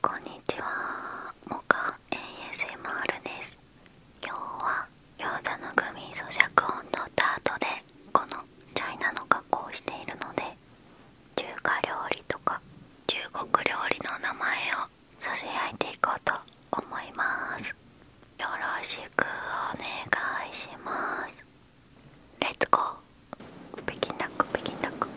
こんにちは、モカ ASMR です。今日は餃子のグミ咀嚼音のっートでこのチャイナの加工をしているので中華料理とか中国料理の名前を差しあいていこうと思います。よろしくお願いします。レッツゴー。北京ダック北京ダック。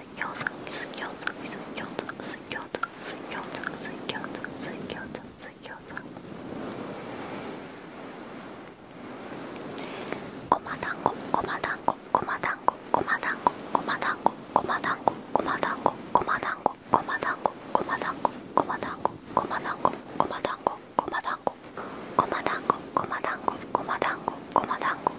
水餃子水餃子水餃子水餃子水餃子水餃子水餃子水餃子ごまだんごまだんごまだんごまだんごまだんごまだんごまだんごまだんごまだんごまだんごまだんごまだんごまだんごま団子ごま団子ごま団子ごま団子ごま団子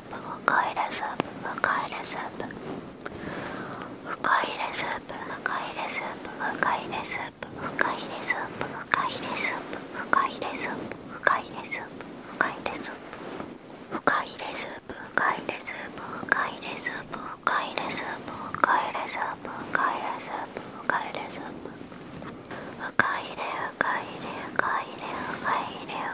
ープ深入れスープ深入れスープ深入れスープ深入れスープ深入れスープ深入れスープ深入れスープ深入れスープ深入れスープ深入れスープ深入れスープ深入れスープ深入れスープ深入れスープ深入れスープ深入れスープ深入れスープ深入れ深入れ深入れ深入れ深入れ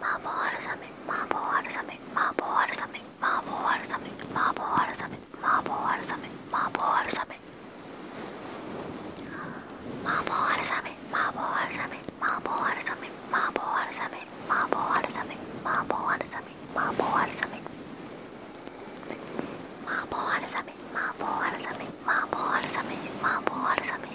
麻婆春雨麻婆春雨麻婆春雨麻婆春雨麻婆春雨麻婆春雨麻婆春雨麻婆春雨麻婆春雨麻婆春雨麻婆春雨麻婆春雨麻婆春雨麻婆春雨麻婆春雨麻婆春雨麻婆春雨麻婆春雨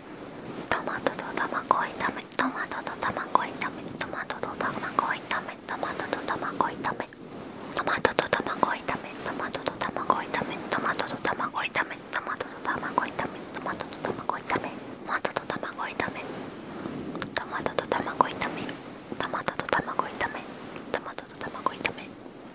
トマトと卵を炒めトマトと卵を炒めトマトと卵を炒めトマトと卵を炒めトマトと卵を炒めトマトと卵を炒めトマトと卵を炒めトマトと卵を炒めトマトと卵を炒めトマトと卵を炒めトマトと卵を炒めトマトと卵を炒めトマトと卵を炒めトマトと卵を炒め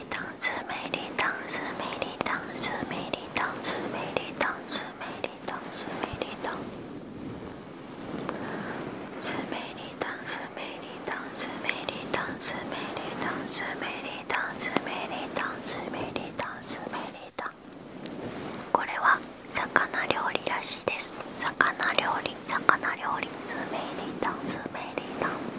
スメリダンスメリダンスメリダンスメリダンスメリダンスメリダンスメリダンスメリダンスメリダンスメリダンスメリダンスメリダンこれは魚料理らしいです魚料理魚料理スメリダンスメリダン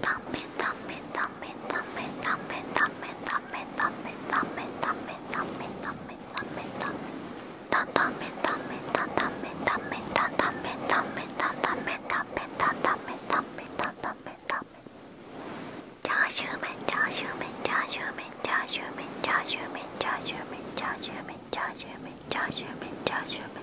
断面断面断面断面断面断面断面断面断面断面断面断面断面断面だんだんめんだんめんだんだんめんだんめんだんだんめんだんめんだんだんめんだんめんだんだんめんだんめんだんだんめんだんめんチャーシュー麺チャーシュー麺チャーシュー麺チャーシュー麺チャーシュー麺チャーシュー麺チャーシュー麺チャーシュー麺チャーシュー麺チャーシュー麺チャーシュー麺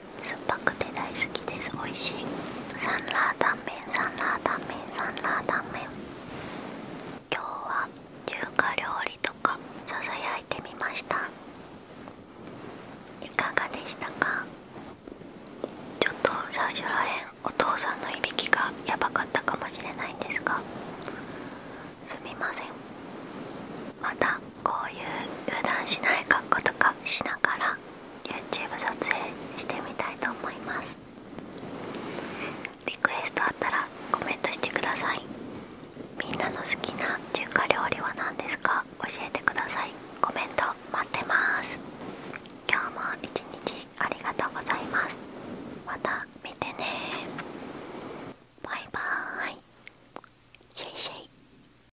酸っぱくて大好きです美味しいサンラータンメサンラータンメサンラータンメ今日は中華料理とかささやいてみましたいかがでしたかちょっと最初らへんお父さんのいびきがやばかったかもしれないんですがすみませんまたこういう油断しない格好とかしながら YouTube 撮影してみたいと思いますリクエストあったらコメントしてくださいみんなの好きな中華料理は何ですか教えてくださいコメント待ってます今日も一日ありがとうございますまた見てねバイバーイシェイシェイ